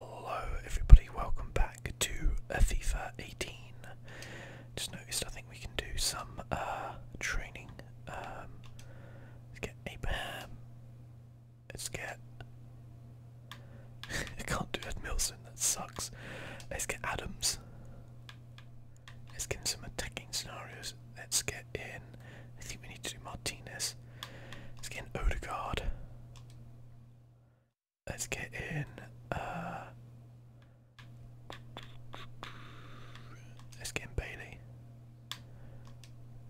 Hello everybody, welcome back to uh, FIFA 18. Just noticed I think we can do some uh, training. Um, let's get Abraham. Let's get... I can't do Ed Milson, that sucks. Let's get Adams. Let's get some attacking scenarios. Let's get in... I think we need to do Martinez. Let's get in Odegaard. Let's get in. Uh, let's get Bailey.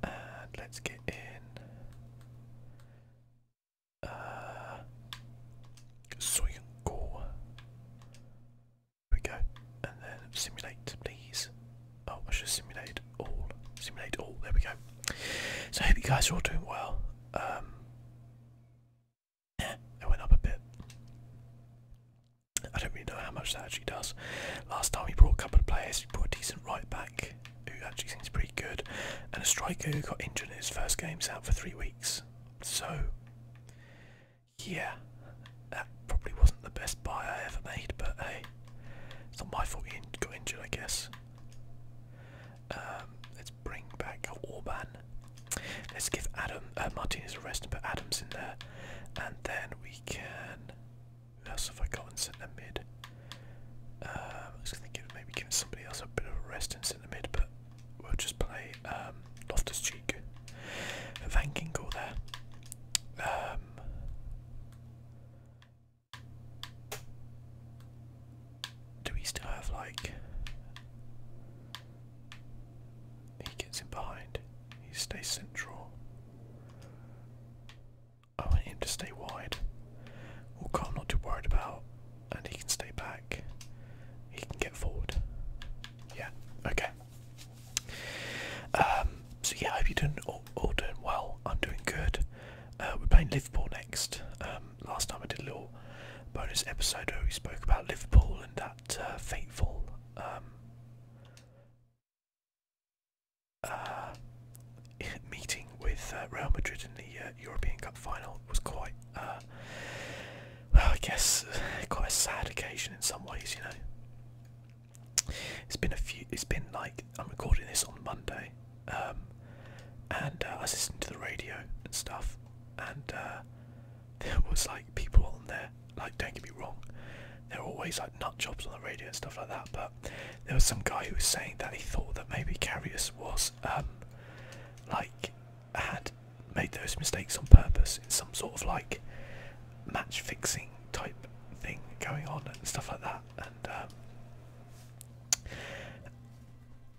And let's get in. Uh, so you can go. we go. And then simulate, please. Oh, I should simulate all. Simulate all. There we go. So I hope you guys are all doing well. Um, it went up a bit. I don't really know how much that actually does. Last time we brought a couple of players, we brought a decent right back who actually seems pretty good, and a striker who got injured in his first games out for three weeks. So, yeah, that probably wasn't the best buy I ever made, but hey, it's not my fault he got injured, I guess. Um, let's bring back Orban. Let's give Adam uh, Martinez a rest and put Adams in there, and then we can. Who else have I got in centre mid? Um, I was going to give maybe give somebody else a bit of rest in centre mid, but we'll just play um, Loftus Cheek. Van Ginkel there. Um, do we still have like. He gets in behind. He stays central. I want him to stay wide. Walker I'm not too worried about. And he can stay back. He can get forward. Yeah, okay. Um, so yeah, I hope you're doing all, doing well. I'm doing good. Uh, we're playing Liverpool next. Um, last time I did a little bonus episode where we spoke about Liverpool and that uh, fateful um, uh, meeting with uh, Real Madrid in the European Cup final was quite, I guess, quite a sad occasion in some ways. You know, it's been a few. It's been like I'm recording this on Monday, um, and uh, I was listening to the radio and stuff, and uh, there was like people on there. Like, don't get me wrong, there were always like nut jobs on the radio and stuff like that. But there was some guy who was saying that he thought that maybe Carrius was um, like had made those mistakes on purpose in some sort of like match fixing type thing going on and stuff like that and um,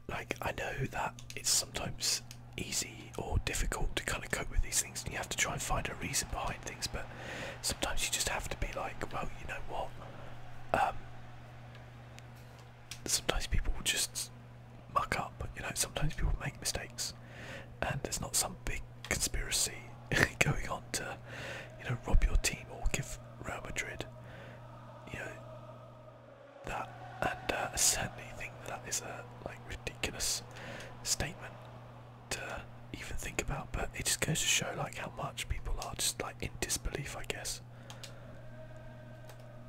like I know that it's sometimes easy or difficult to kind of cope with these things and you have to try and find a reason behind things but sometimes you just have to be like well you know what um, sometimes people will just muck up you know sometimes people make mistakes and there's not some big conspiracy going on to you know rob your team or give Real Madrid you know that, and uh, certainly think that is a like ridiculous statement to even think about. But it just goes to show like how much people are just like in disbelief, I guess.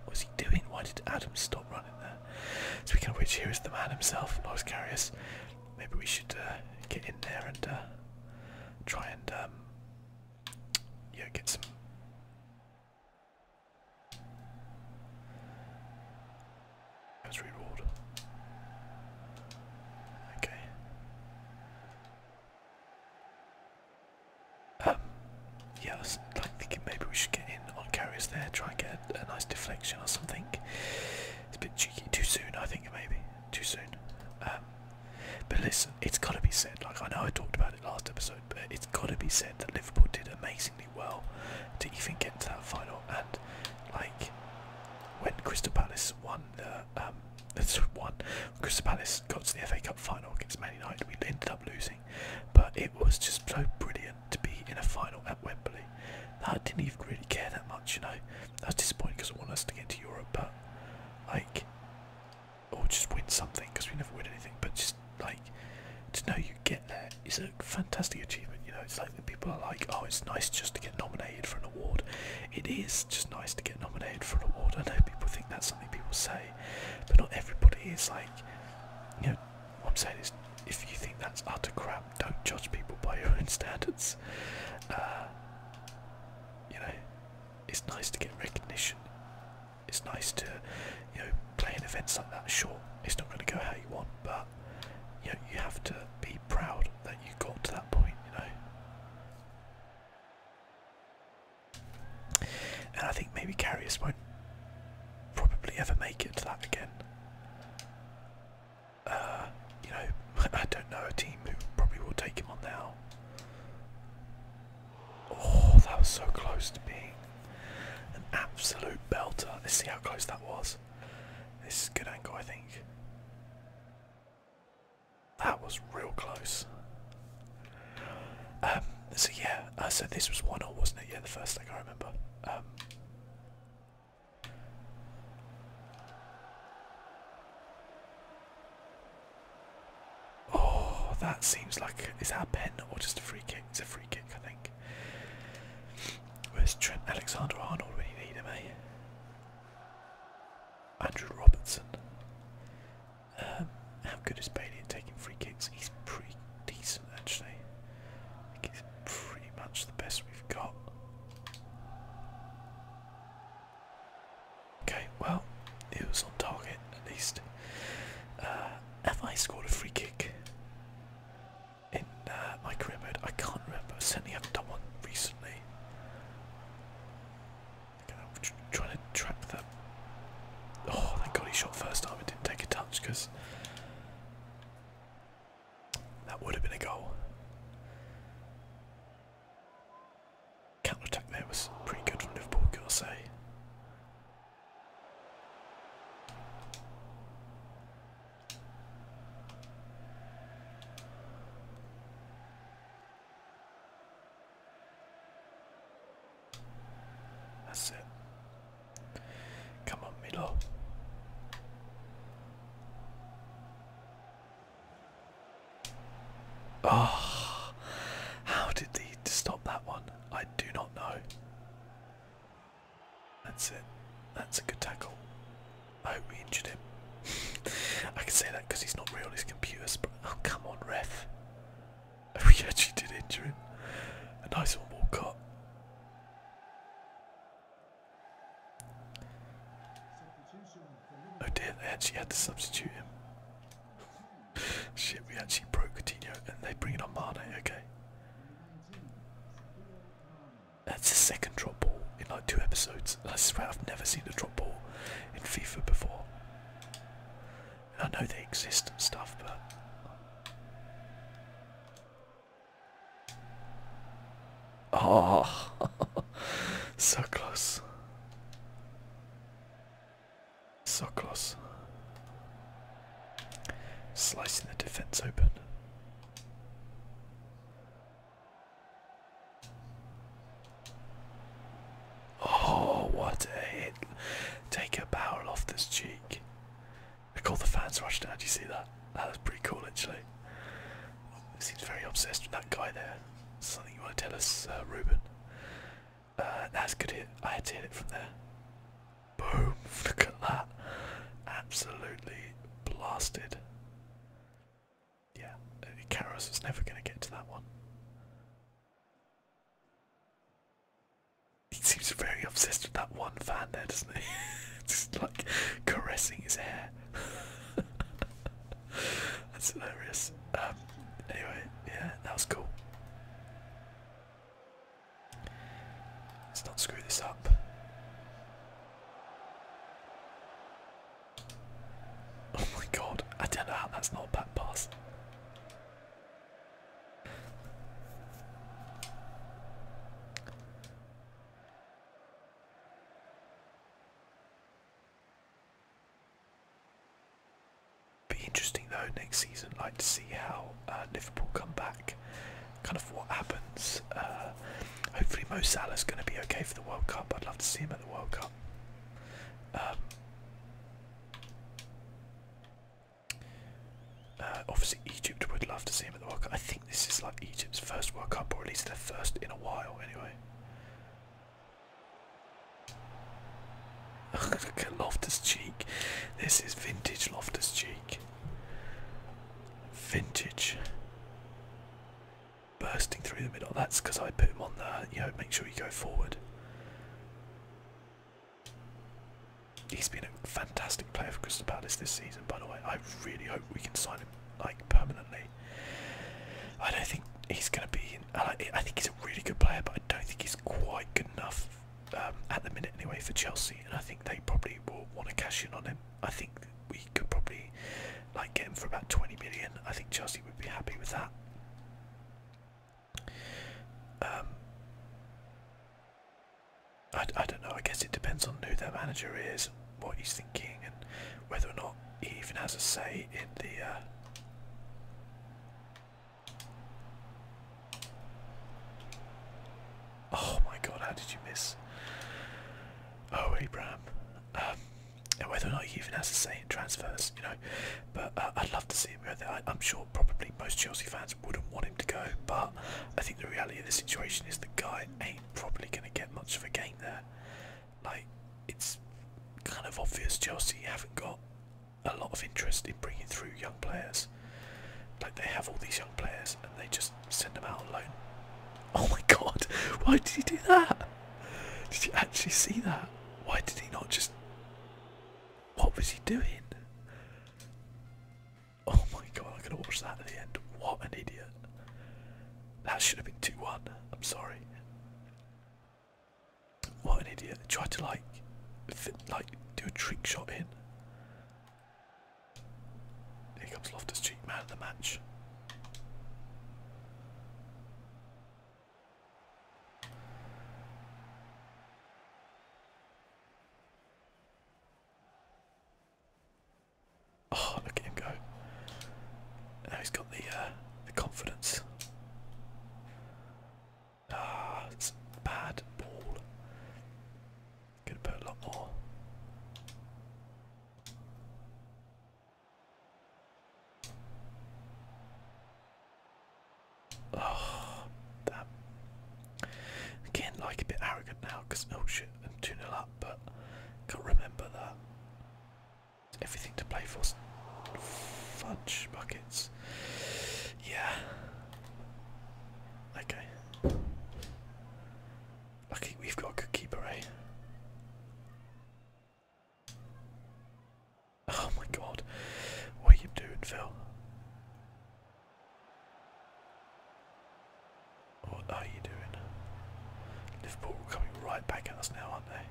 What was he doing? Why did Adam stop running there? Speaking of which, here is the man himself, Loris Carius. Maybe we should uh, get in there and uh, try and um, yeah, get some that's reward. Okay. Um, yeah, I was thinking maybe we should get in on carriers there, try and get a, nice deflection or something. It's a bit cheeky, too soon I think maybe, too soon. Um, but listen, it's got to be said. Like I know I talked about it last episode, but it's got to be said that Liverpool did amazingly well to even get to that final. And like when Crystal Palace won the um, one, Crystal Palace got to the FA Cup final against Man United. We ended up losing, but it was just so brilliant to be in a final at Wembley. I didn't even really care that much, you know. I was disappointed because I wanted us to get to Europe, but like or just win something because we never win anything. But just like to know you get there is a fantastic achievement. You know, it's like the people are like, oh, it's nice just to get nominated for an award. It is just nice to get nominated for an award. I know people think that's something people say, but not everybody is like, you know, what I'm saying is, if you think that's utter crap, don't judge people by your own standards. Uh, you know, it's nice to get recognition it's nice to you know play in events like that. Sure, it's not going to go how you want, but you know you have to be proud that you got to that point. You know, and I think maybe Carrius won't probably ever make it to that again. Uh, you know, I don't know a team who probably will take him on now. Oh, that was so close to being an absolute belter. Let's see how close that was. This is a good angle, I think. That was real close. Um, so yeah, uh, so this was one or wasn't it? Yeah, the first thing I remember. Um, Oh, that seems like is that pen or just a free kick? It's a free kick, I think. Where's Trent Alexander-Arnold when you need him, eh? Andrew Robertson. Um, how good is Bailey at taking free kicks? He's pretty decent, actually. I think he's pretty much the best we've got. Okay, well, it was on target at least. Uh, have I scored a free kick in uh, my career mode? I can't remember. I certainly haven't done one recently. I'm trying to track that. Oh, thank God he shot first time. It didn't take a touch because that would have been a goal. Counter attack there was pretty good from Liverpool, I'll say. That's it. Come on, Milo. Oh, how did he stop that one? I do not know. That's it. That's a good tackle. I hope we injured him. I can say that because he's not real, his computer's. Oh, come on, ref. We actually did injure him. A nice one, Walcott. Oh dear, they actually had to substitute him. Shit, we actually broke Coutinho and they bring it on Mane, okay. That's the second drop ball in like two episodes. I swear I've never seen a drop ball in FIFA before. I know they exist and stuff, but Oh so close. So Slicing the defense open. Oh, what a hit. Take a barrel off this cheek. Look, all the fans rushed out. Do you see that? That was pretty cool, actually. Seems very obsessed with that guy there. Something you want to tell us, uh, Ruben? Uh, that's good I had to hit it from there. Boom! Look at that. Absolutely blasted. Yeah, uh, Karos was never going to get to that one. He seems very obsessed with that one fan there, doesn't he? Just like caressing his hair. That's hilarious. Um, anyway, yeah, that was cool. Let's not screw this up. Oh my god, I don't know how that's not a back pass. Be interesting though next season, like to see how uh, Liverpool come back, kind of what happens. Uh, hopefully Mo is going to be okay for the World Cup. I'd love to see him at the World Cup. Um, uh, obviously, Egypt would love to see him at the World Cup. I think this is like Egypt's first World Cup, or at least their first in a while, anyway. Loftus Cheek. This is vintage Loftus Cheek. Vintage. Bursting through the middle. That's because I put him on the, you know, make sure you go forward. He's been a fantastic player for Crystal Palace this season, by the way. I really hope we can sign him, like, permanently. I don't think he's going to be, in, I think he's a really good player, but I don't think he's quite good enough um, at the minute anyway for Chelsea, and I think they probably will want to cash in on him. I think we could probably like get him for about 20 million. I think Chelsea would be happy with that. Um, I, I don't know. I guess it depends on who their manager is, what he's thinking, and whether or not he even has a say in the. Uh, Oh my god, how did you miss? Oh, Abram. Um, whether or not he even has a say in transfers, you know. But uh, I'd love to see him go I, I'm sure probably most Chelsea fans wouldn't want him to go, but I think the reality of the situation is the guy ain't probably going to get much of a game there. Like, it's kind of obvious Chelsea haven't got a lot of interest in bringing through young players. Like they have all these young players and they just send them out alone. Oh my god! Why did he do that? Did you actually see that? Why did he not just? What was he doing? Oh my god! I'm gonna watch that at the end. What an idiot! That should have been two one. I'm sorry. What an idiot! Try to like, like do a trick shot in. Here comes Loftus Cheek, man of the match. Oh, look at him go! Now he's got the uh, the confidence. Ah, bad ball. Could put a lot more. Oh, damn. Again, like a bit arrogant now because oh shit, I'm 2 0 up, but can't remember that. everything to play for. Fudge buckets. Yeah. Okay. Lucky we've got a good keeper, eh? Oh my god. What are you doing, Phil? What are you doing? Liverpool coming right back at us now, aren't they?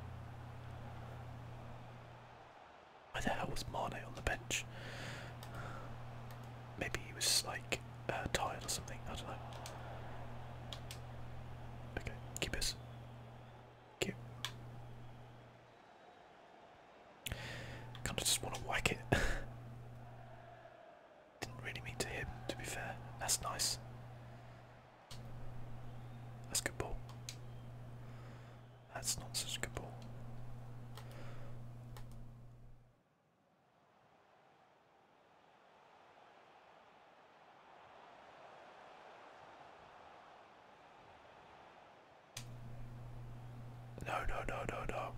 Why the hell was Mane on the bench? Maybe he was like uh, tired or something. I don't know. Okay, keepers. Keep. Kind of just want to whack it. Didn't really mean to him, to be fair. That's nice. That's good ball. That's not such a good ball. No, no, no, no, no.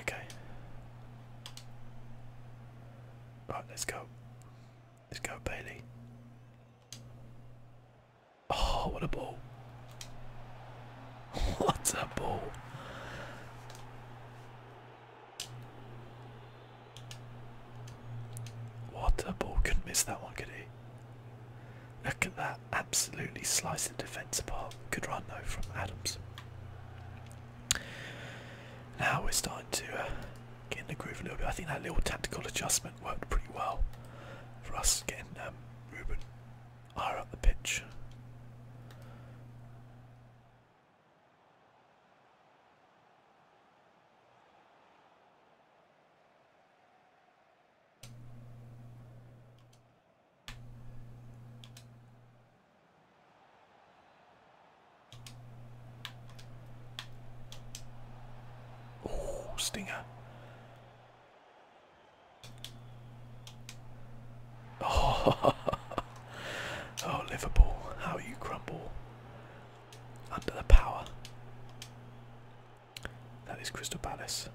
Okay. Right, let's go. Let's go, Bailey. Oh, what a ball. What a ball. What a ball. Couldn't miss that one, could he? Look at that. Absolutely sliced the defence apart. Good run, though, from Adams. Now we're starting to uh, get in the groove a little bit. I think that little tactical adjustment worked pretty well for us getting them. Um, Ruben are at the pitch. Oh, Stinger. Oh, oh Liverpool, how you crumble under the power. That is Crystal Palace.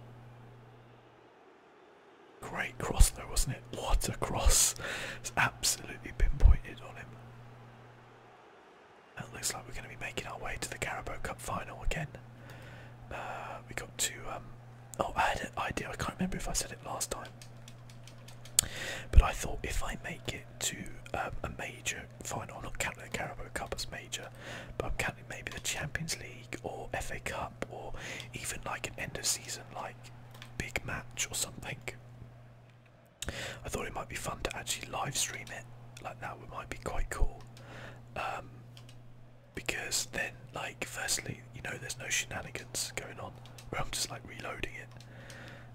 Great cross there, wasn't it? What a cross. It's absolutely pinpointed on him. That looks like we're going to be making our way to the Carabao Cup final again. Uh, we got to. Um, oh, I had an idea. I can't remember if I said it last time. But I thought if I make it to um, a major final, I'm not counting uh, the Carabao Cup as major, but counting maybe the Champions League or FA Cup or even like an end of season like big match or something. I thought it might be fun to actually live stream it. Like that would might be quite cool. Um, because then like firstly you know there's no shenanigans going on where I'm just like reloading it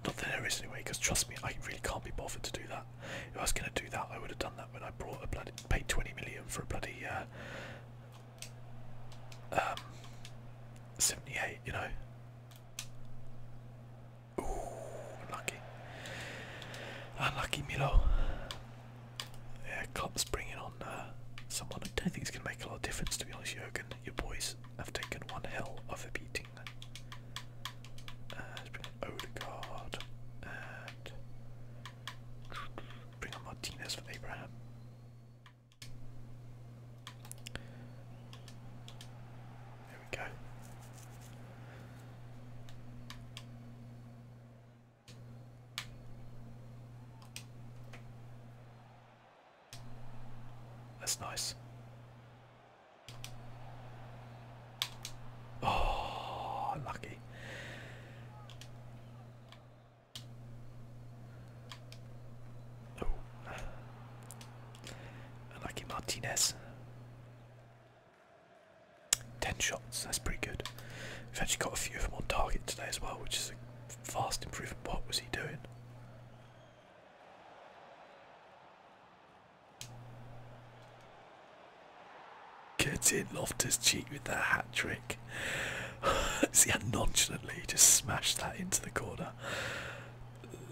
not that there is anyway because trust me I really can't be bothered to do that if I was going to do that I would have done that when I brought a bloody paid 20 million for a bloody uh, um, 78 you know Ooh, unlucky unlucky Milo yeah, Klopp's bringing on uh, someone. I don't think it's going to make a lot of difference, to be honest, Jurgen. Your boys have taken one hell of a beating. Uh, bring on Odegaard bring on Martinez for Abraham. There we go. That's nice. Oh, lucky. Oh. lucky Martinez. 10 shots, that's pretty good. We've actually got a few of them on target today as well, which is a fast improvement. What was he doing? Get in, Loftus cheat with that hat trick. See how nonchalantly he just smashed that into the corner.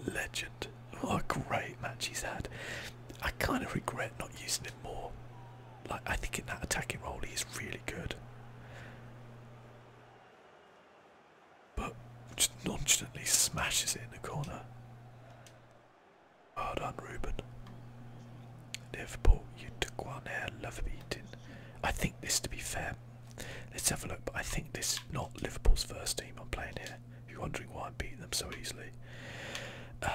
Legend. What a great match he's had. I kind of regret not using it more like I think in that attacking role he's really good. But just nonchalantly smashes it in the corner. Well done, Ruben. Liverpool, you took one there, love beating. I think this, to be fair, let's have a look, but I think this is not Liverpool's first team I'm playing here. If you're wondering why I'm beating them so easily. Uh,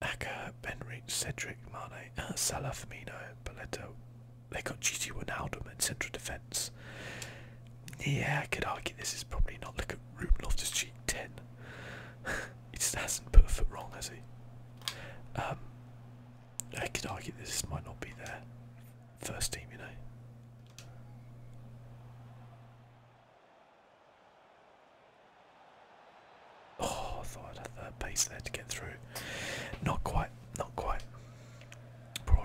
Aka, Benrich, Cedric, Mane, uh, Salah, Firmino, Belletto. They got Gigi Wijnaldum at central defence. Yeah, I could argue this is probably not like a Ruben Loftus-Cheek 10. he just hasn't put a foot wrong, has he? Um, I could argue this might not be their first team, you know. Oh, I thought I'd have that pace there to get through. Not quite, not quite. Poor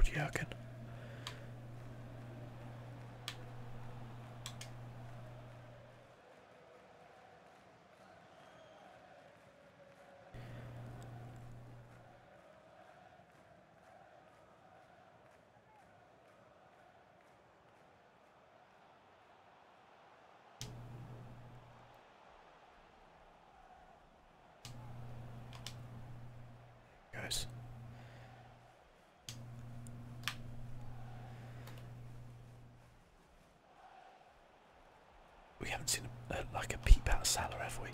Guys. We haven't seen a, a, like a peep out of Salah, have we?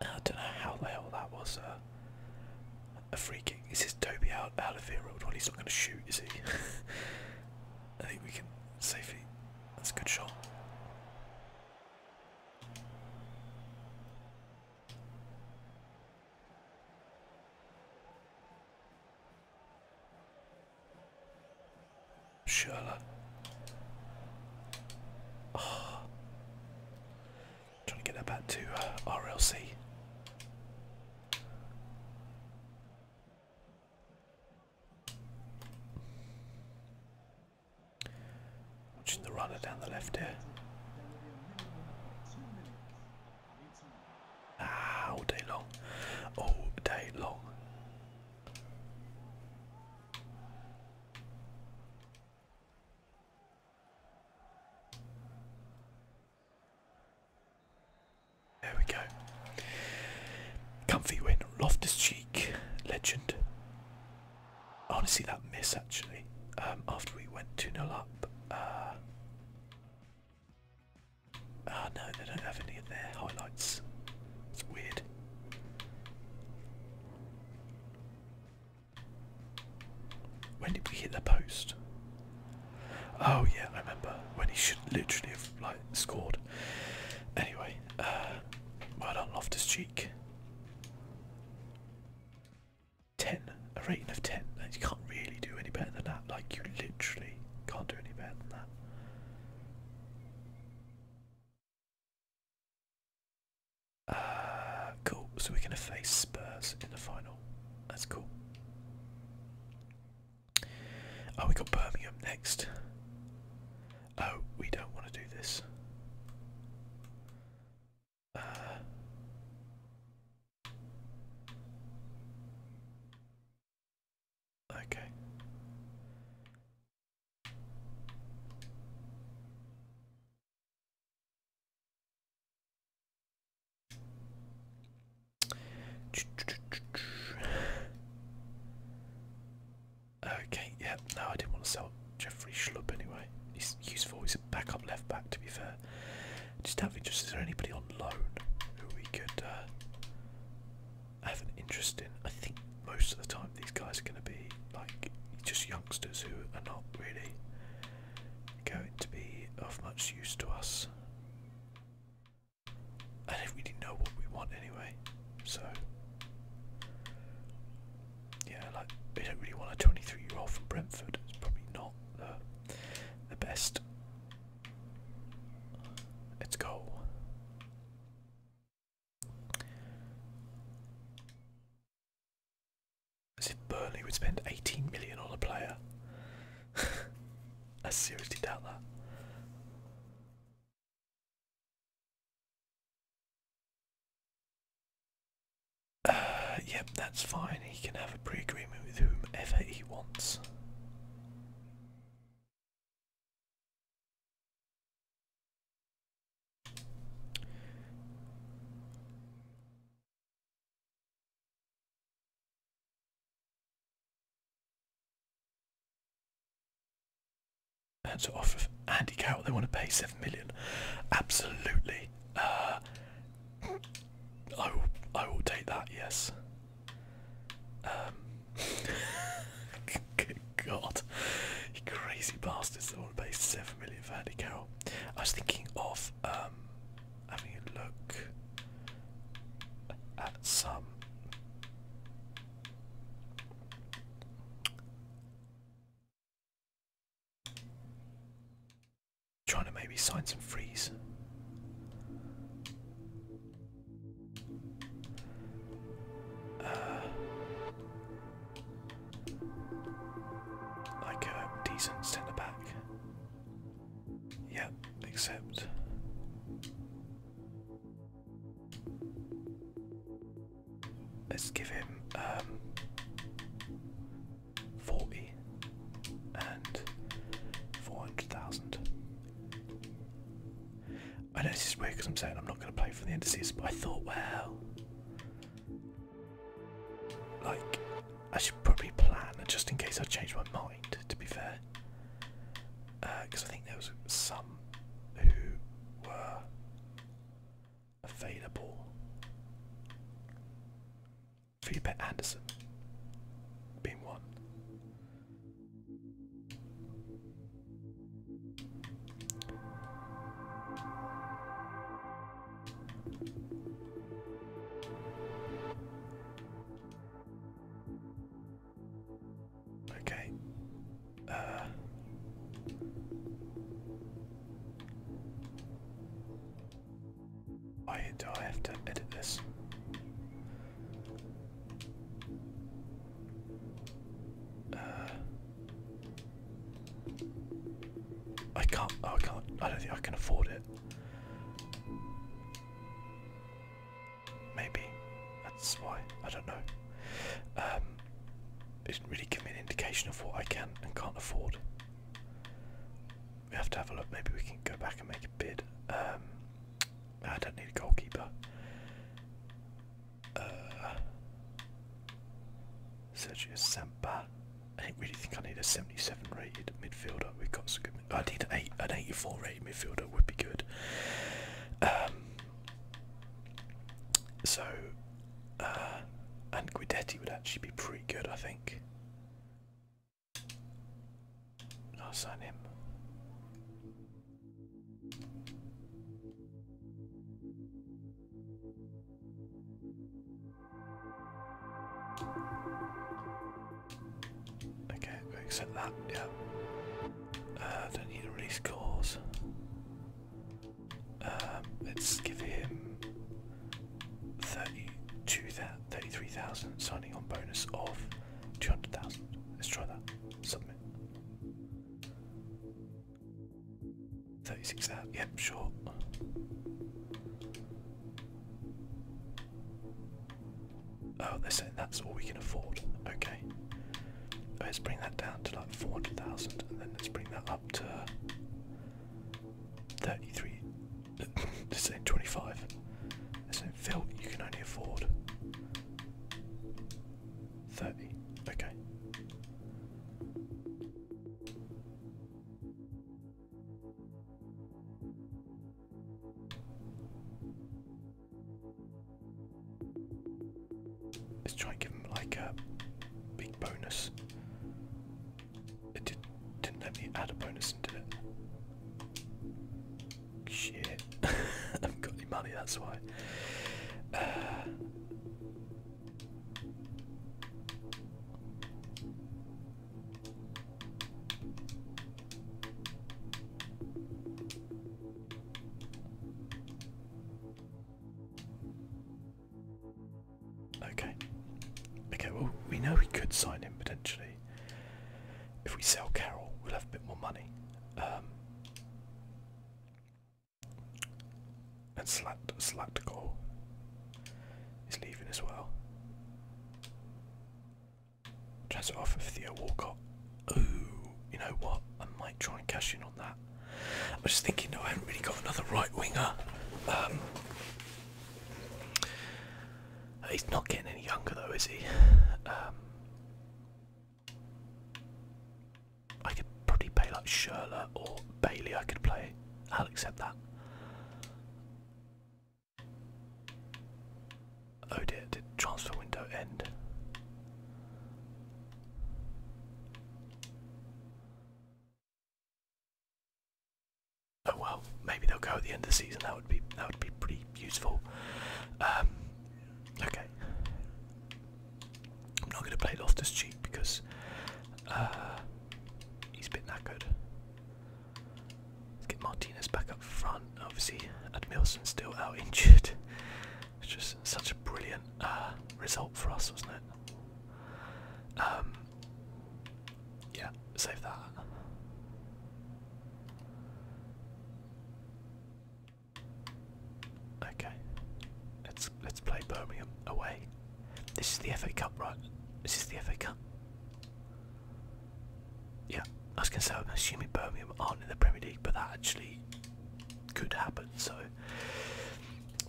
I don't know how the hell that was uh, a free kick. Is this Toby out, out of here? Well, he's not going to shoot, is he? I think we can safely. That's a good shot. Sherla. Oh. Trying to get that back to uh, RLC. Watching the runner down the left here. Ah, all day long. All day long. There we go. Comfy win. Loftus Cheek, legend. I want to see that miss actually. Um, after we went 2 0 up. Uh, ah, no, they don't have any in their highlights. It's weird. When did we hit the post? Oh yeah, I remember when he should literally have like scored. Anyway, uh, well done, Loftus Cheek. Ten, a rating of ten. You can't really do any better than that. Like you literally can't do any better than that. Uh, cool. So we're going to face Spurs in the final. That's cool. Oh, we got Birmingham next. Oh, we don't want to do this. Uh, okay. Okay, yeah, no, I didn't want to sell Jeffrey Schlupp anyway. He's useful, he's a backup left back to be fair. Just out of interest, is there anybody on loan who we could uh, have an interest in? I think most of the time these guys are going to be like just youngsters who are not really going to be of much use to us. I don't really know what we want anyway, so yeah, like we don't really want a 23-year-old from Brentford. It's probably not the the best. Let's go. As if Burnley would spend 18 million on a player. I seriously doubt that. Uh, yep, that's fine. He can have a pre agreement with whomever he wants. That's off of Andy Carroll. They want to pay seven million. Absolutely. Uh, I will. I will take that. Yes. Um, good God, you crazy bastards! They want to pay seven million for Andy Carroll. I was thinking of um, having a look at some trying to maybe sign some freeze uh, like a decent centre back Yep, accept. Let's give him um, 40 and 400,000. I know this is weird because I'm saying I'm not going to play for the end but I thought, well, like, I should probably plan just in case I change my mind, to be fair. Because uh, I think there was some who were available. Felipe Anderson being one. Okay. Uh do have to edit this? Uh, I can't. Oh, I can't. I don't think I can afford it. Maybe that's why. I don't know. Um, it does not really give me an indication of what I can and can't afford. We have to have a look. Maybe we can go back and make a bid. Um, I don't need a goalkeeper. Uh, Sergio Sampa. I don't really think I need a 77 rated midfielder. We've got some good. I need an, eight, an 84 rated midfielder would be good. Um, so, uh, would actually be pretty good, I think. I'll sign him. Okay, accept that, yeah. Uh, don't need a release cause. Um, let's give him 33,000 signing on bonus of 200,000. Let's try that. Submit. 36,000. Yep, sure. Oh, they're saying that's all we can afford. Okay. Let's bring that down to like 400,000 and then let's bring that up to 33. they're saying 25. They're saying, Phil, you can only afford 30. Okay. Let's try and give him like a big bonus. It did, didn't let me add a bonus into it. Shit. I haven't got any money, that's why. Uh, Okay. Okay, well, we know we could sign him potentially. If we sell Carol, we'll have a bit more money. Um, and Slat Slatkor is leaving as well. Transfer offer for Theo Walcott. Ooh, you know what? I might try and cash in on that. I was just thinking, no, I haven't really got another right winger. Um, he's not getting any younger, though, is he? Um, I could probably play like Schürrle or Bailey. I could play. I'll accept that. Oh dear, did transfer window end? Oh well, maybe they'll go at the end of the season. That would be that would be pretty useful. Um, okay, I'm not going to play Loftus Cheek because uh, he's been that good. Let's get Martinez back up front. Obviously, Admilson's still out injured. It's just such a brilliant uh, result for us, wasn't it? Um, yeah, save that. Okay, let's let's play Birmingham away. This is the FA Cup, right? This is the FA Cup. Yeah, I was going to say, I'm assuming Birmingham aren't in the Premier League, but that actually could happen. So,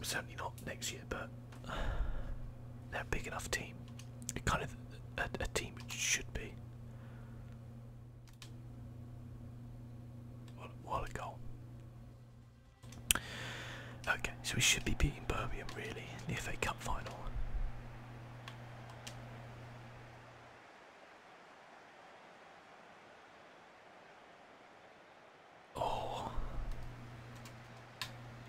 certainly not next year, but they're a big enough team. kind of a, team which should be. what a goal. Okay, so we should be beating Birmingham really in the FA Cup final. Oh,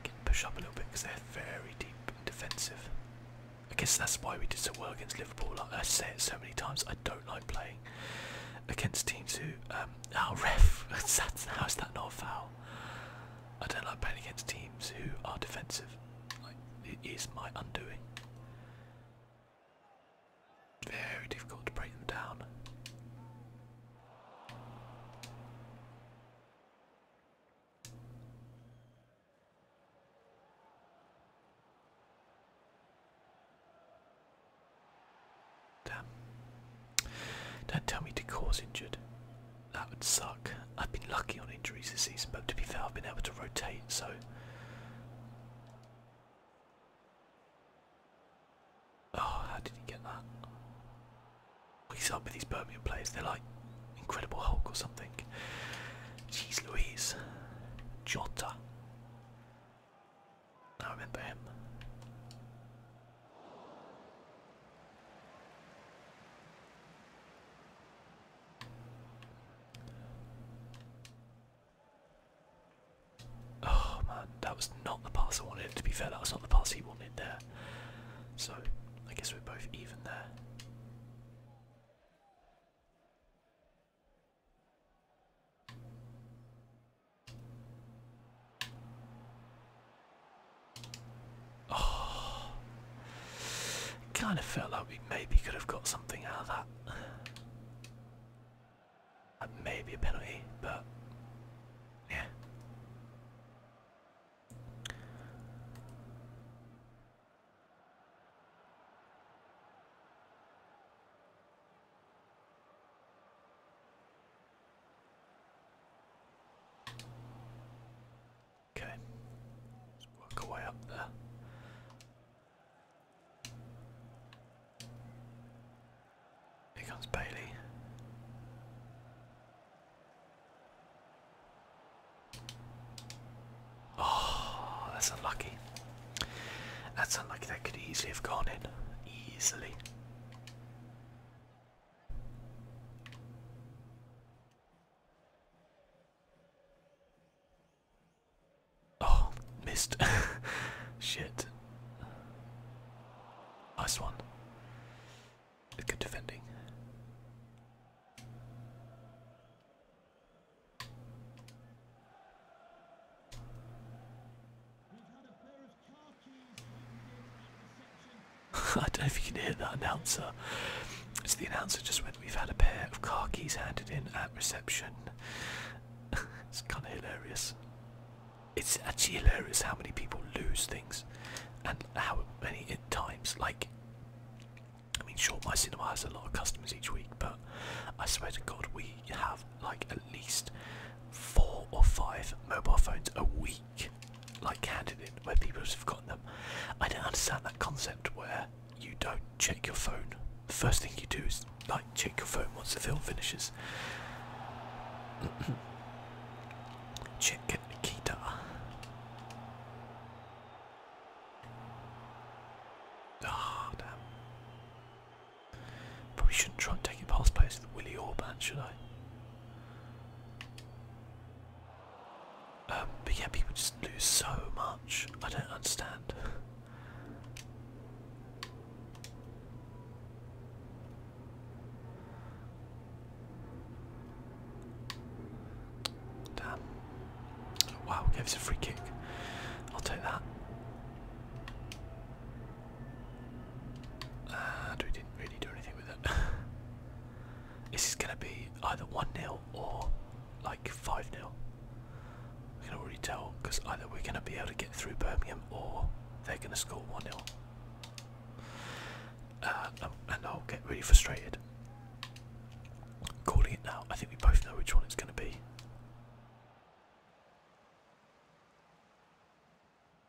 I push up a little bit because they're very deep defensive. I guess that's why we did so well against Liverpool. Like I say it so many times, I don't like playing against teams who. Um, ref, how's that not a foul? I don't like playing against teams who are defensive. it is my undoing. Very difficult to break them down. Damn. Don't tell me Decor's injured. That would suck. I've been lucky on injuries this season, but to be fair, I've been able to rotate, so. Oh, how did he get that? He's up with these Birmingham players, they're like Incredible Hulk or something. Jeez Louise. Jota. I remember him. Oh man, that was not the pass I wanted. To be fair, that was not the pass he wanted there. So I guess we're both even there. Oh, kind of felt like we maybe could have got something out of that. That a penalty, but yeah. Okay, let's work our up there. Here comes Bailey. Oh, that's unlucky. That's unlucky. That could easily have gone in. Easily. Oh, missed. Shit. Nice one. Good defending. I don't know if you can hear that announcer. It's the announcer just when We've had a pair of car keys handed in at reception. it's kind of hilarious. It's actually hilarious how many people lose things and how many times. Like, I mean, sure, my cinema has a lot of customers each week, but I swear to God, we have like at least four or five mobile phones a week like handed where people have forgotten them. I don't understand that concept where you don't check your phone. The first thing you do is like check your phone once the film finishes. check Nikita. Ah, damn. Probably shouldn't try and take it past place with Willie Orban, should I? Um, but yeah, people just lose so much. I don't understand. Damn. Wow, gave a free kick. I'll take that. And uh, we didn't really do anything with it. This is going to be either 1 0 or like 5 0. I can already tell because either we're going to be able to get through Birmingham or they're going to score 1 0. Uh, um, and I'll get really frustrated. Calling it now, I think we both know which one it's going to be.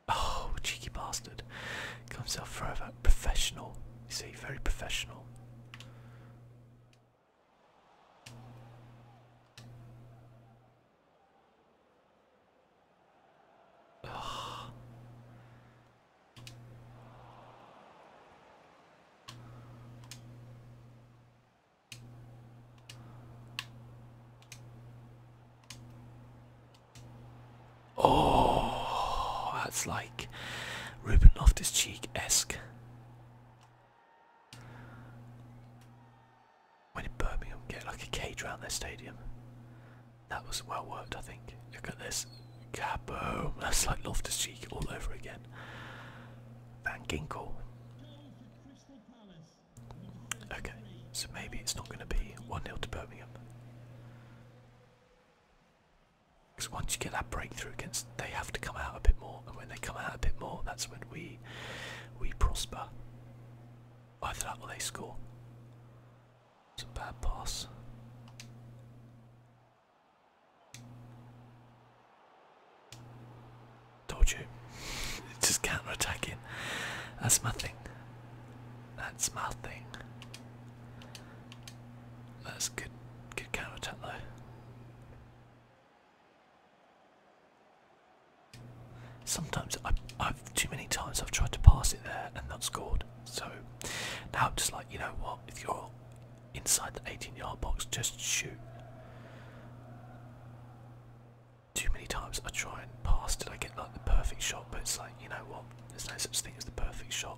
Oh, cheeky bastard. Got himself forever professional. see, very professional. Oh, that's like Ruben Loftus Cheek esque. When did Birmingham get like a cage around their stadium? That was well worked, I think. Look at this. Kaboom! That's like Loftus Cheek all over again. Van Ginkel. Okay, so maybe it's not going to be 1 nil to Birmingham. Because once you get that breakthrough, against they have to come out a bit more, and when they come out a bit more, that's when we we prosper. Either that or they score. It's a bad pass. Told you. It's just counter attacking. That's my thing. That's my thing. That's good, good counter attack though. Sometimes I, have too many times I've tried to pass it there and not scored. So now i just like, you know what? If you're inside the 18-yard box, just shoot. Too many times I try and pass. Did I get like the perfect shot? But it's like, you know what? There's no such thing as the perfect shot.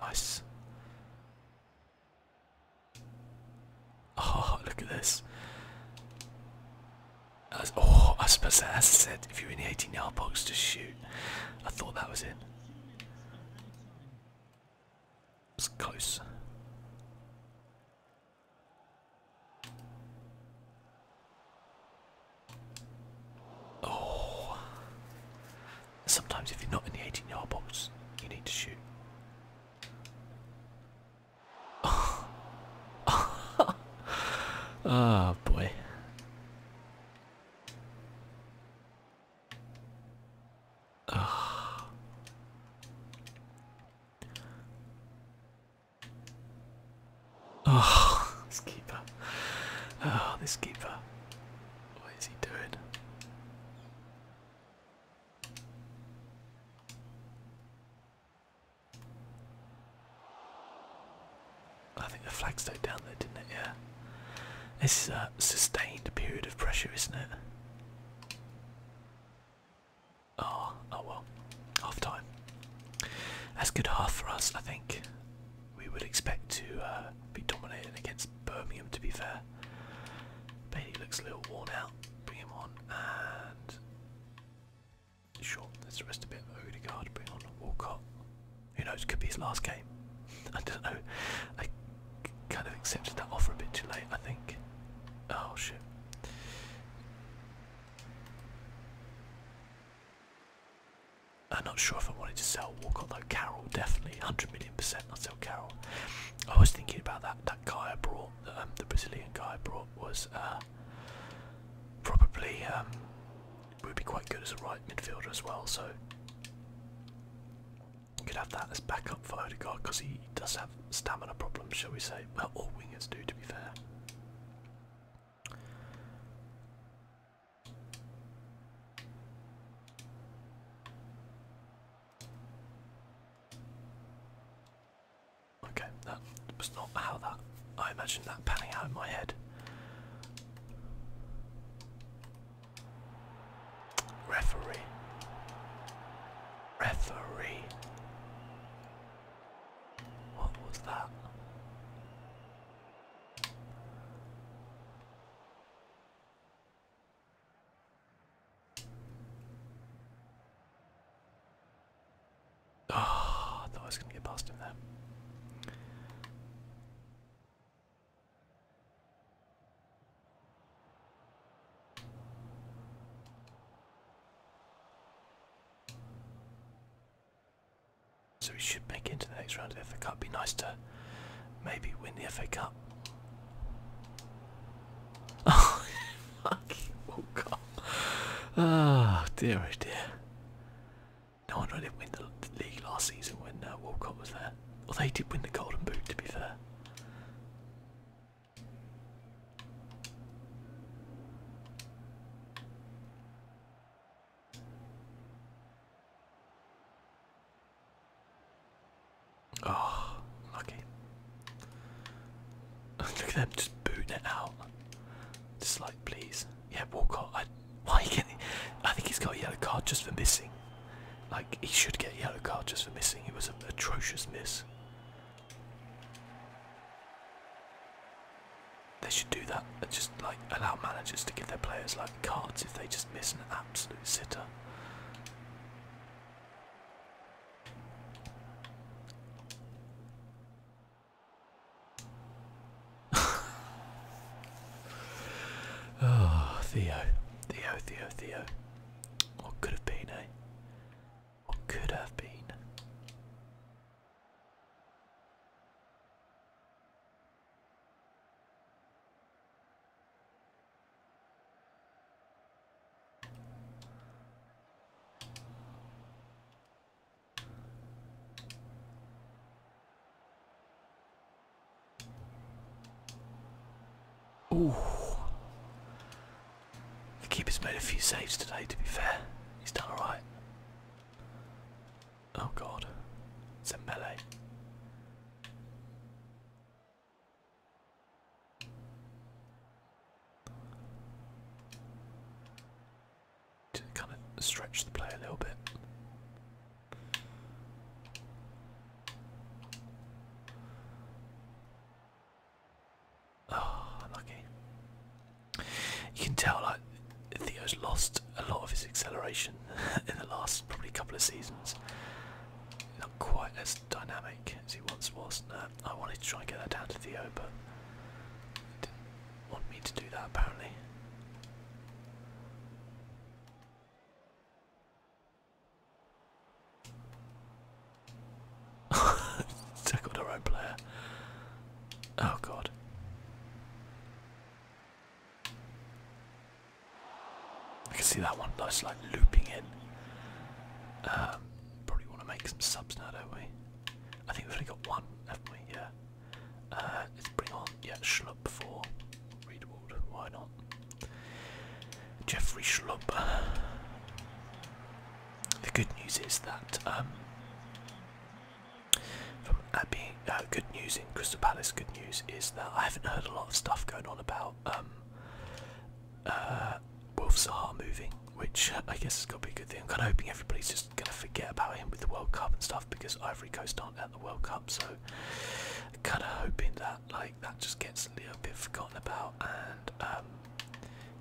Nice. Oh, look at this. oh, I suppose that, as I said, if you're in the 18 yard box, to shoot. I thought that was in. It was close. Oh. Sometimes if you're not in the 18 yard box, you need to shoot. Oh, oh boy. Oh. Oh, this keeper. Oh, this keeper. What is he doing? I think the flag stayed down there, didn't it? Yeah. This is a sustained period of pressure, isn't it? Oh, oh well. Half time. That's good half for us, I think. We would expect to uh, be dominating against Birmingham, to be fair. Bailey looks a little worn out. Bring him on and. Sure, let's the rest a bit. Odegaard, bring on Walcott. Who knows? Could be his last game. I don't know. I kind of accepted that offer a bit too late, I think. Oh shit. I'm not sure if I wanted to sell Walcott though. Carroll definitely, hundred million percent. Not sell Carroll. I was thinking about that. That guy I brought, um, the Brazilian guy I brought, was uh, probably um, would be quite good as a right midfielder as well. So we could have that as backup for Odegaard because he does have stamina problems, shall we say? Well, all wingers do, to be fair. Okay, that was not how that I imagined that panning out in my head. Referee. Referee. What was that? Oh, I thought I was going to get past him there. So we should make it into the next round of the FA Cup. Be nice to maybe win the FA Cup. Oh, oh God. Oh dear, oh dear. No one really win the, league last season when uh, Walcott was there. Well, they did win the Golden Boot, to be fair. Oh, lucky. Look at them just booting it out. Just like, please. Yeah, Walcott. why can he? I think he's got a yellow card just for missing. Like, he should get a yellow card just for missing. It was an atrocious miss. They should do that and just like allow managers to give their players like cards if they just miss an absolute sitter. oh, Theo, Theo, Theo, Theo. What could have been, eh? What could have been? Ooh. The keeper's made a few saves today, to be fair. He's done alright. Oh god. It's a melee. To kind of stretch the play a little bit. Oh, lucky. You can tell like Theo's lost a lot of his acceleration in the last probably couple of seasons. Not quite as dynamic as he once was. I wanted to try and get that down to Theo, but he didn't want me to do that apparently. Tackled our own player. Oh god. I can see that one. That's like looping it. Um, probably want to make some subs now, don't we? I think we've only got one, haven't we? Yeah. Uh, let's bring on, yeah, Schlupp for Reedwald. Why not? Jeffrey Schlupp. The good news is that um, from Abby, uh, good news in Crystal Palace. Good news is that I haven't heard a lot of stuff going on about um, uh, moving, which I guess is going to be a good thing. I'm kind of hoping everybody's just going to forget about him with the World Cup and stuff because Ivory Coast aren't at the World Cup, so I'm kind of hoping that like that just gets a little bit forgotten about and um,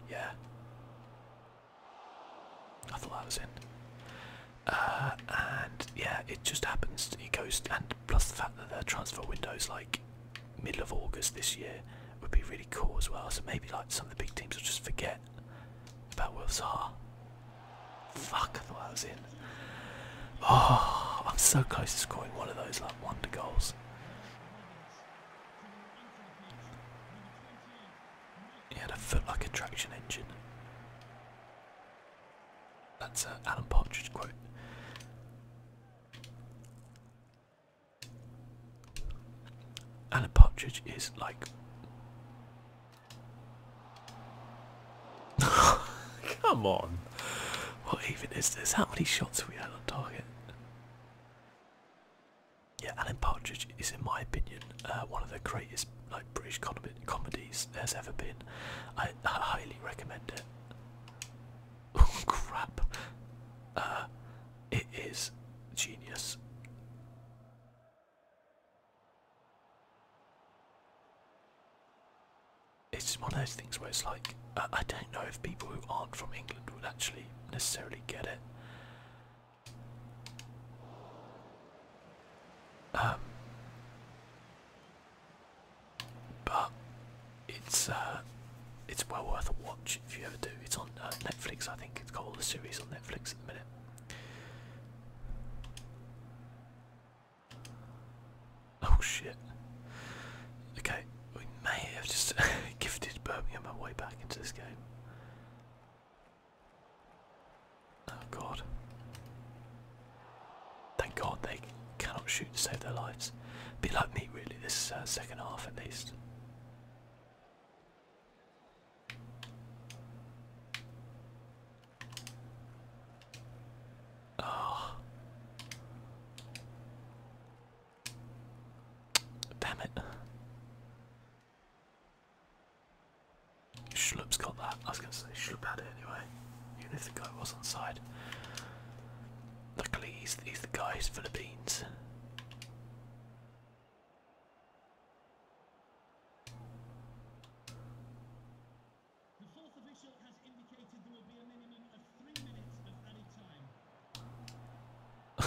yeah. I thought I was in. Uh, and yeah, it just happens. It goes, and plus the fact that the transfer window's like middle of August this year would be really cool as well. So maybe like some of the big teams will just forget about Wolves. Zaha. Fuck, I thought I was in. Oh, I'm so close to scoring one of those like wonder goals. It had a foot like a traction engine. That's an uh, Alan Partridge quote. Alan Partridge is like. Come on! What even is this? How many shots have we had on target? Yeah, Alan Partridge is, in my opinion, uh, one of the greatest. Like, British com comedies has ever been. I, highly recommend it. Oh, crap! Uh, it is genius. It's one of those things where it's like I don't know if people who aren't from England would actually necessarily get it. Um, but it's uh, it's well worth a watch if you ever do. It's on uh, Netflix, I think. It's got all the series on Netflix at the minute. Oh shit! Okay, we may have just gifted Birmingham my way back into this game. Oh god. Thank god they cannot shoot to save their lives. Be like me really, this uh, second half at least. Oh. Damn it. Schlupp's got that. I was going to say Schlupp had it anyway. Even if the guy was on side. Luckily, he's, the guy's Philippines.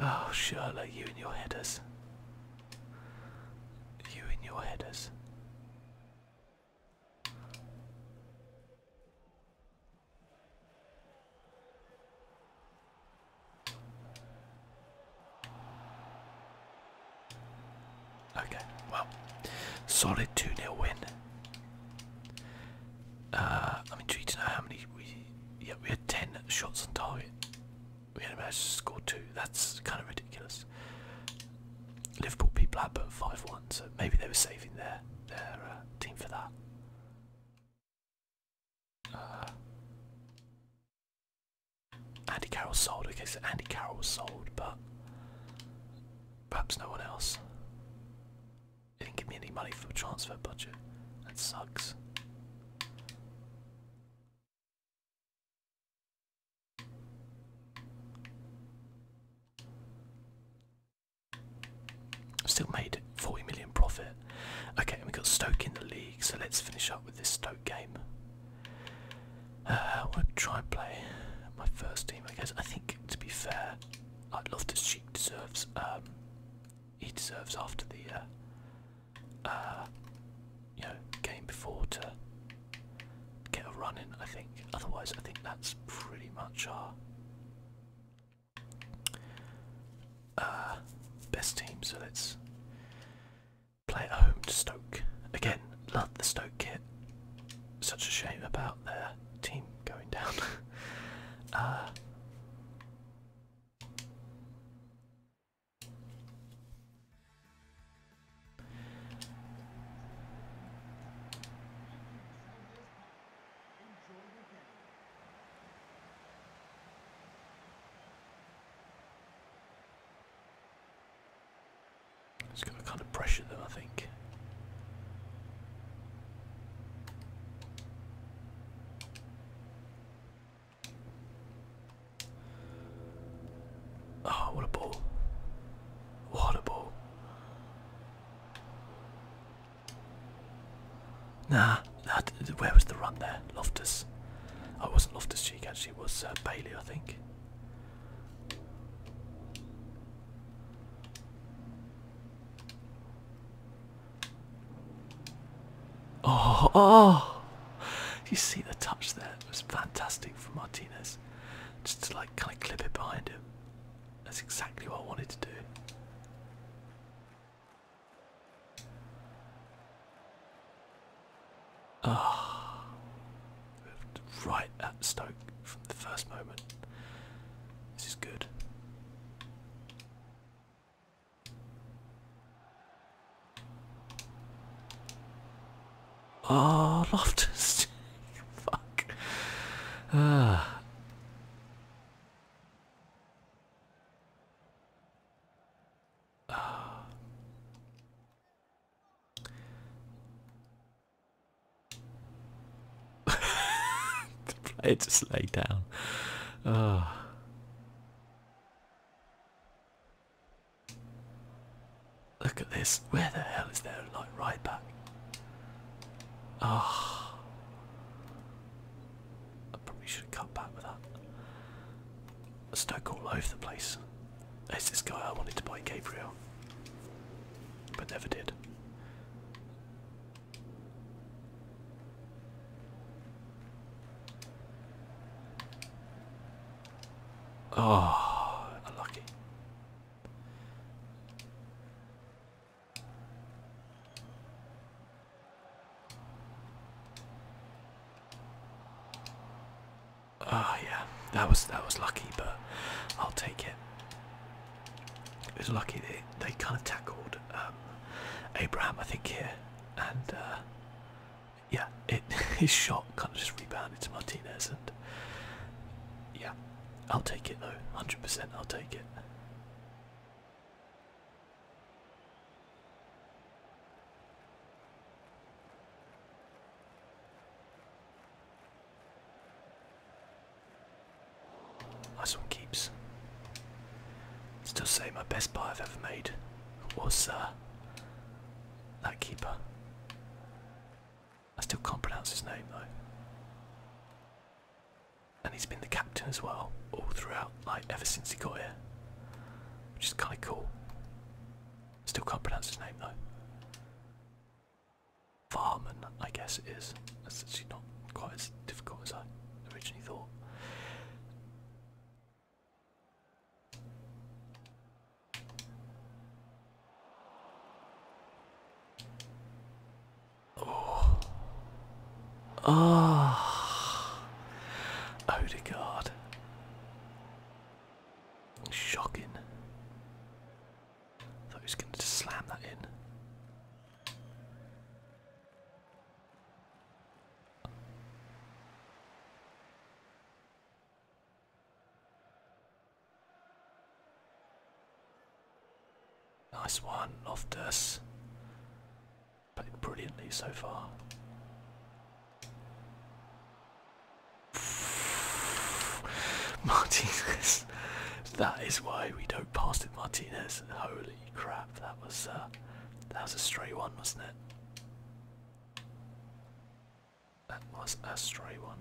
oh, Charlotte, you and your headers. You and your headers. Okay, well, solid 2 0 win. Uh, I'm intrigued to know how many we. Yeah, we had 10 shots on target we managed to score two. That's kind of ridiculous. Liverpool beat Blackburn 5-1, so maybe they were saving their their uh, team for that. Uh, Andy Carroll sold. Okay, so Andy Carroll was sold, but perhaps no one else. didn't give me any money for the transfer budget. That sucks. Still made 40 million profit. Okay, and we got Stoke in the league, so let's finish up with this Stoke game. Uh, I will to try and play my first team, I guess. I think, to be fair, I'd uh, love to. She deserves. Um, he deserves after the uh, uh, you know, game before to get a run in, I think. Otherwise, I think that's pretty much our uh, best team. So let's play at home to Stoke. Again, love the Stoke kit. Such a shame about their team going down. Uh, it's going to kind of pressure them, I think. Oh, what a ball! What a ball! Nah, where was the run there? Loftus. Oh, I wasn't Loftus Cheek actually. was uh, Bailey, I think. oh, oh, oh. you see the touch there? It was fantastic from Martinez. Just to like kind of clip it behind him. That's exactly what I wanted to do. Ah, right at Stoke from the first moment. This is good. Oh, Loftus. Fuck. Uh. Ah. Uh. the player just lay down. Uh. Look at this. Where the hell is that light right back? Ah, I probably should cut back with that. A stoke all over the place. There's this guy I wanted to buy Gabriel, but never did. Oh, unlucky. Oh yeah, that was that was lucky, but I'll take it. It was lucky they they kind of tackled um, Abraham, I think here, and uh, yeah, it his shot kind of just rebounded to Martinez, and yeah, I'll take it though. 100%, I'll take it. Nice one keeps. Still say my best buy I've ever made was uh, that keeper. I still can't pronounce his name though. And he's been the captain as well, all throughout, like ever since he got here. Which is kinda cool. Still can't pronounce his name though. Farman, I guess it is. That's actually not quite as difficult as I originally thought. Oh. Oh. Odegaard. Shocking. Thought he was going to slam that in. Nice one, Loftus. Played brilliantly so far. Martinez. that is why we don't pass it, Martinez. Holy crap, that was uh, that was a stray one, wasn't it? That was a stray one.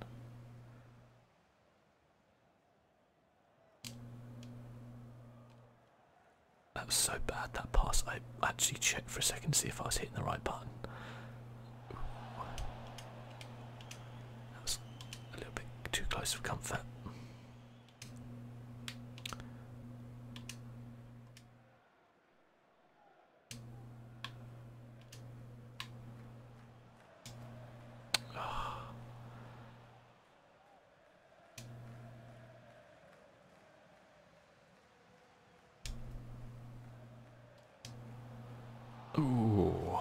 That was so bad that pass. I actually checked for a second to see if I was hitting the right button. That was a little bit too close for comfort. Ah. Ooh.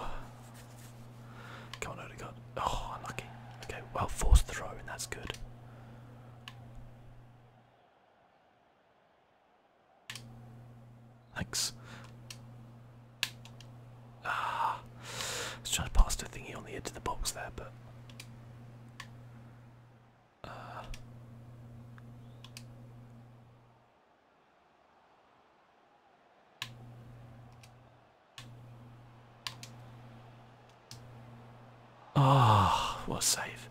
Come on, Odegaard. Oh, unlucky. Okay, well, forced throw, and that's good. Thanks. Ah, I was trying to pass the thingy on the edge of the box there, but. Uh, oh, what a save.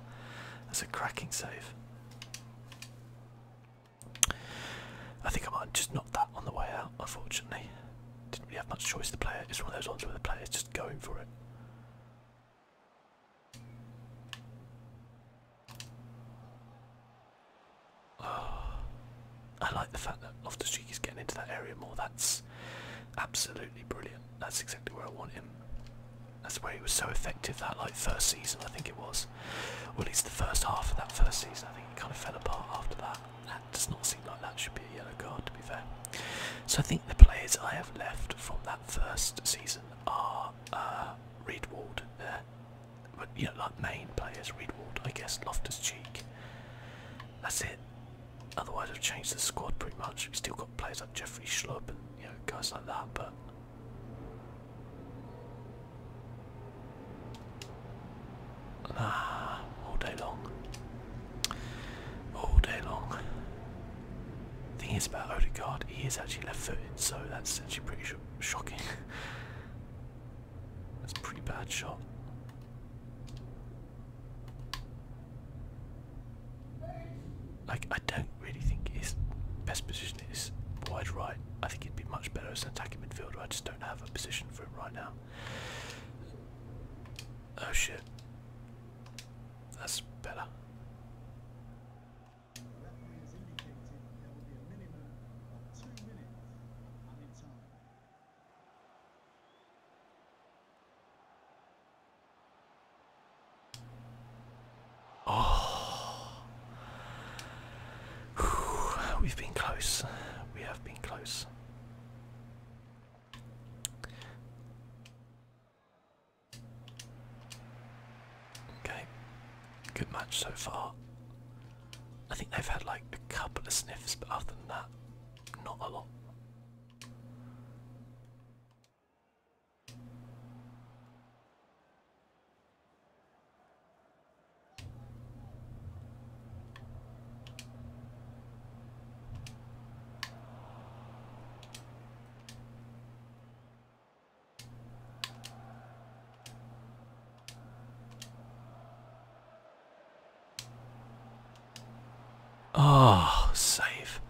That's a cracking save. I think I might just knock that on the way out, unfortunately. Didn't really have much choice, the player. It's one of those ones where the player is just going for it. Ah, I like the fact that Loftus Cheek is getting into that area more. That's absolutely brilliant. That's exactly where I want him. That's where he was so effective that like first season I think it was. Or at least the first half of that first season. I think it kind of fell apart after that. That does not seem like that should be a yellow card to be fair. So I think the players I have left from that first season are uh, uh But you know like main players, Reed I guess, Loftus Cheek. That's it. Otherwise I've changed the squad pretty much. still got players like Jeffrey Schlubb and you know guys like that, but Ah, all day long. All day long. Thing is about Odegaard, he is actually left-footed, so that's actually pretty shocking. that's a pretty bad shot. Like I don't really think his best position is wide right. I think he'd be much better as an attacking midfielder. I just don't have a position for him right now. Oh shit. That's better. Oh. We've been close. We have been close. Okay. Good match so far. I think they've had like a couple of sniffs, but other than that, not a lot. Oh, save.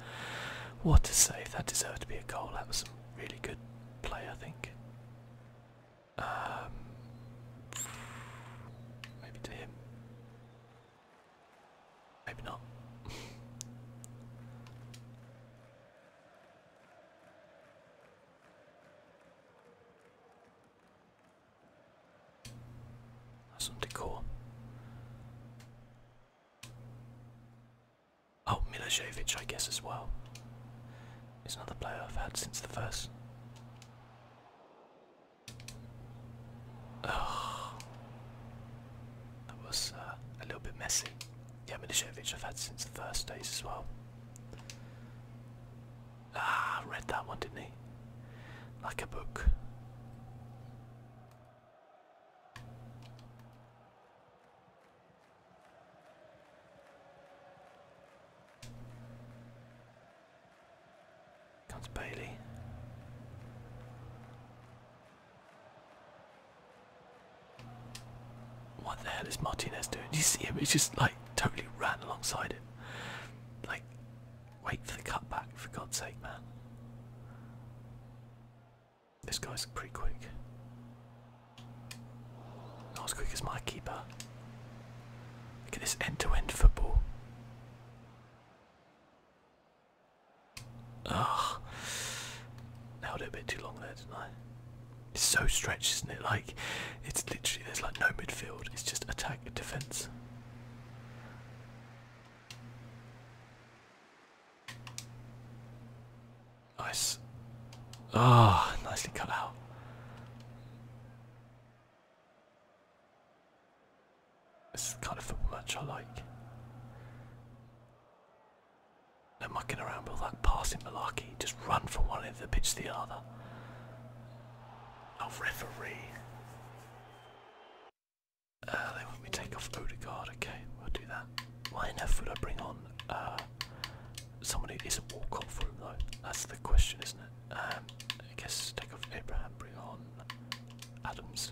What a save. That deserved to be a goal. That was really good play, I think. Um, maybe to him. Maybe not. That's some decor. Oh, Milosevic, I guess, as well. It's another player I've had since the first. Oh, that was uh, a little bit messy. Yeah, Milosevic I've had since the first days as well. Ah, read that one, didn't he? Like a book. Comes Bailey. What the hell is Martinez doing? Do you see him? He's just like totally ran alongside him. Like, wait for the cutback, for God's sake, man. This guy's pretty quick. Not as quick as my keeper. Look at this end-to-end football. Ah, nailed it a bit too long there, didn't I? It's so stretched, isn't it? Like, it's literally there's like no midfield. It's just attack and defense. Nice. Ah, nicely cut out. This is the kind of football match I like. They're mucking around with that passing malarkey. Just run from one end of the pitch to the other. Oh, referee. Uh, they want take off Odegaard. Okay, we'll do that. Why in earth I bring on uh, Somebody is isn't walk off room though. That's the question, isn't it? Um, I guess take off Abraham, bring on Adams.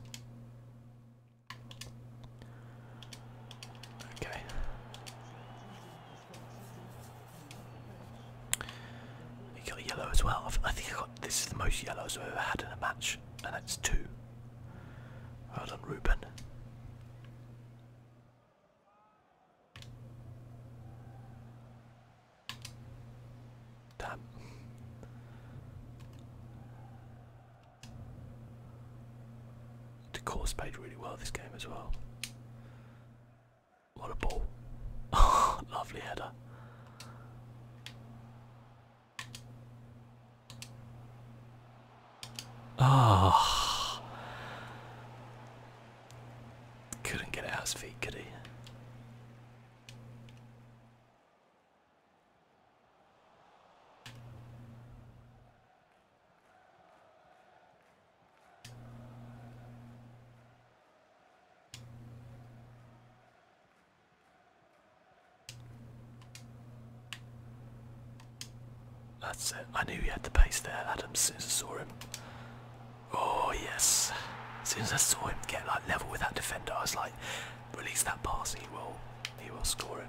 Okay. You got yellow as well. I think I got this is the most yellows I've ever had in a match, and that's two. Well done, Ruben. Damn. The course played really well this game as well. What a ball. lovely header. Ah. Oh. Couldn't get out his feet, could he? That's it. I knew he had the pace there, Adam, as soon as I saw him. Oh, yes. As soon as I saw him get like level with that defender, I was like, release that pass, he will, he will score it.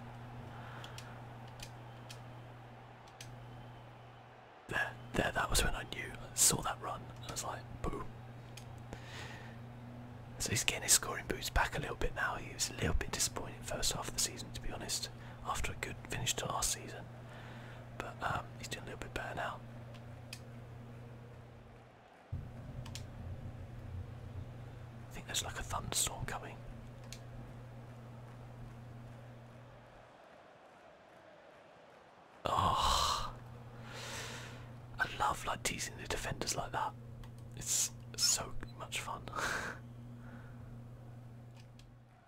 There, there, that was when I knew. I saw that run, I was like, boom. So he's getting his scoring boots back a little bit now. He was a little bit disappointed first half of the season, to be honest after a good finish to last season. But um, he's doing a little bit better now. I think there's like a thunderstorm coming. Oh, I love like teasing the defenders like that. It's so much fun.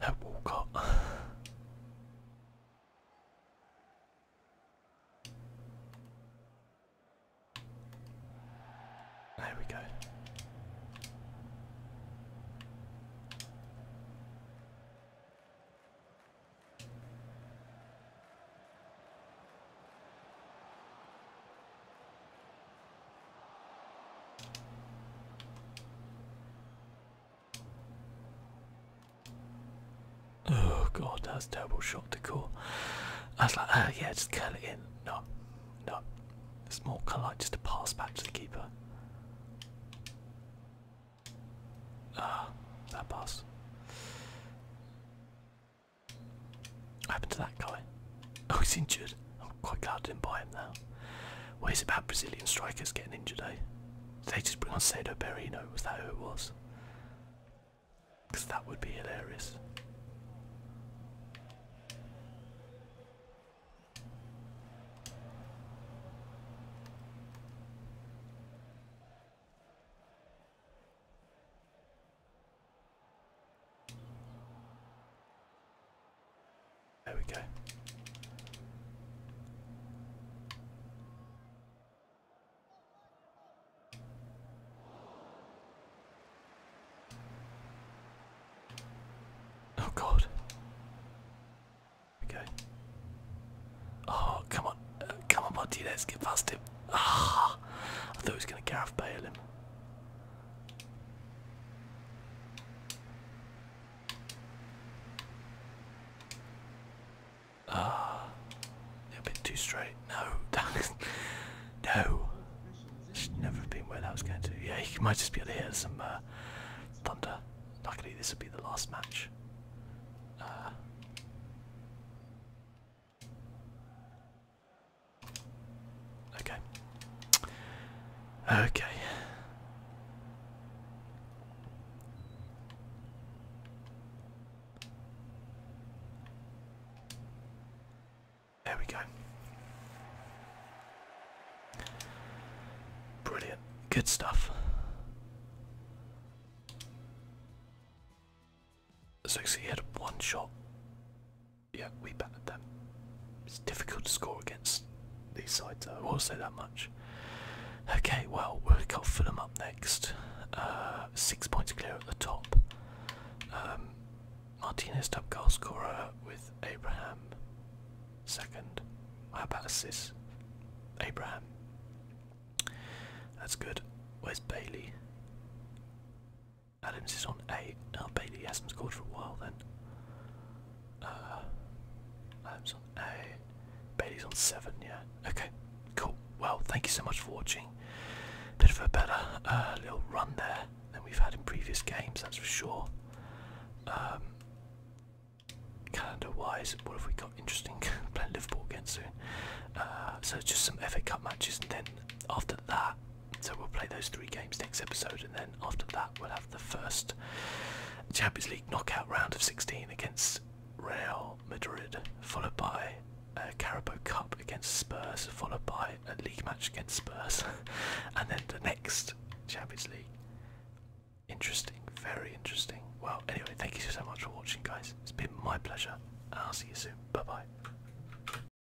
That Walcott. There we go. Oh god, that's terrible shot to call. I was like, ah, yeah, just curl it in. No, no. It's more kind like just a pass back to the keeper. Ah, that pass. What happened to that guy? Oh, he's injured. I'm quite glad I didn't buy him now. Well, it about Brazilian strikers getting injured, eh? they just bring on Sado Perino? Was that who it was? Because that would be hilarious. There we go. Oh God. Okay. Oh come on, uh, come on, buddy. Let's get past him. Ah, I thought he was gonna Gareth Bale him. Ah, a bit too straight. No, no. Should never have been where that was going to. Yeah, you might just be able to hear some uh, thunder. Luckily, this will be the last match. Uh, Okay. Okay. There we go. Brilliant. Good stuff. So he had one shot yeah, we battered them. It's difficult to score against these sides, though, I will say that much. Okay, well, we will fill them up next. Uh, six points clear at the top. Um, Martinez top goal scorer with Abraham second. How about assists? Abraham. That's good. Where's Bailey? Adams is on eight. Now Bailey has scored for a while then. Uh, on eight. Bailey's on seven, yeah. Okay, cool. Well, thank you so much for watching. Bit of a better uh, little run there than we've had in previous games, that's for sure. Um, Calendar wise, what have we got interesting? Playing Liverpool again soon. Uh, so, just some FA Cup matches, and then after that, so we'll play those three games next episode, and then after that, we'll have the first Champions League knockout round of 16 against Real Madrid, followed by a Carabao Cup against Spurs, followed by a league match against Spurs, and then the next Champions League. Interesting, very interesting. Well, anyway, thank you so much for watching, guys. It's been my pleasure, I'll see you soon. Bye bye.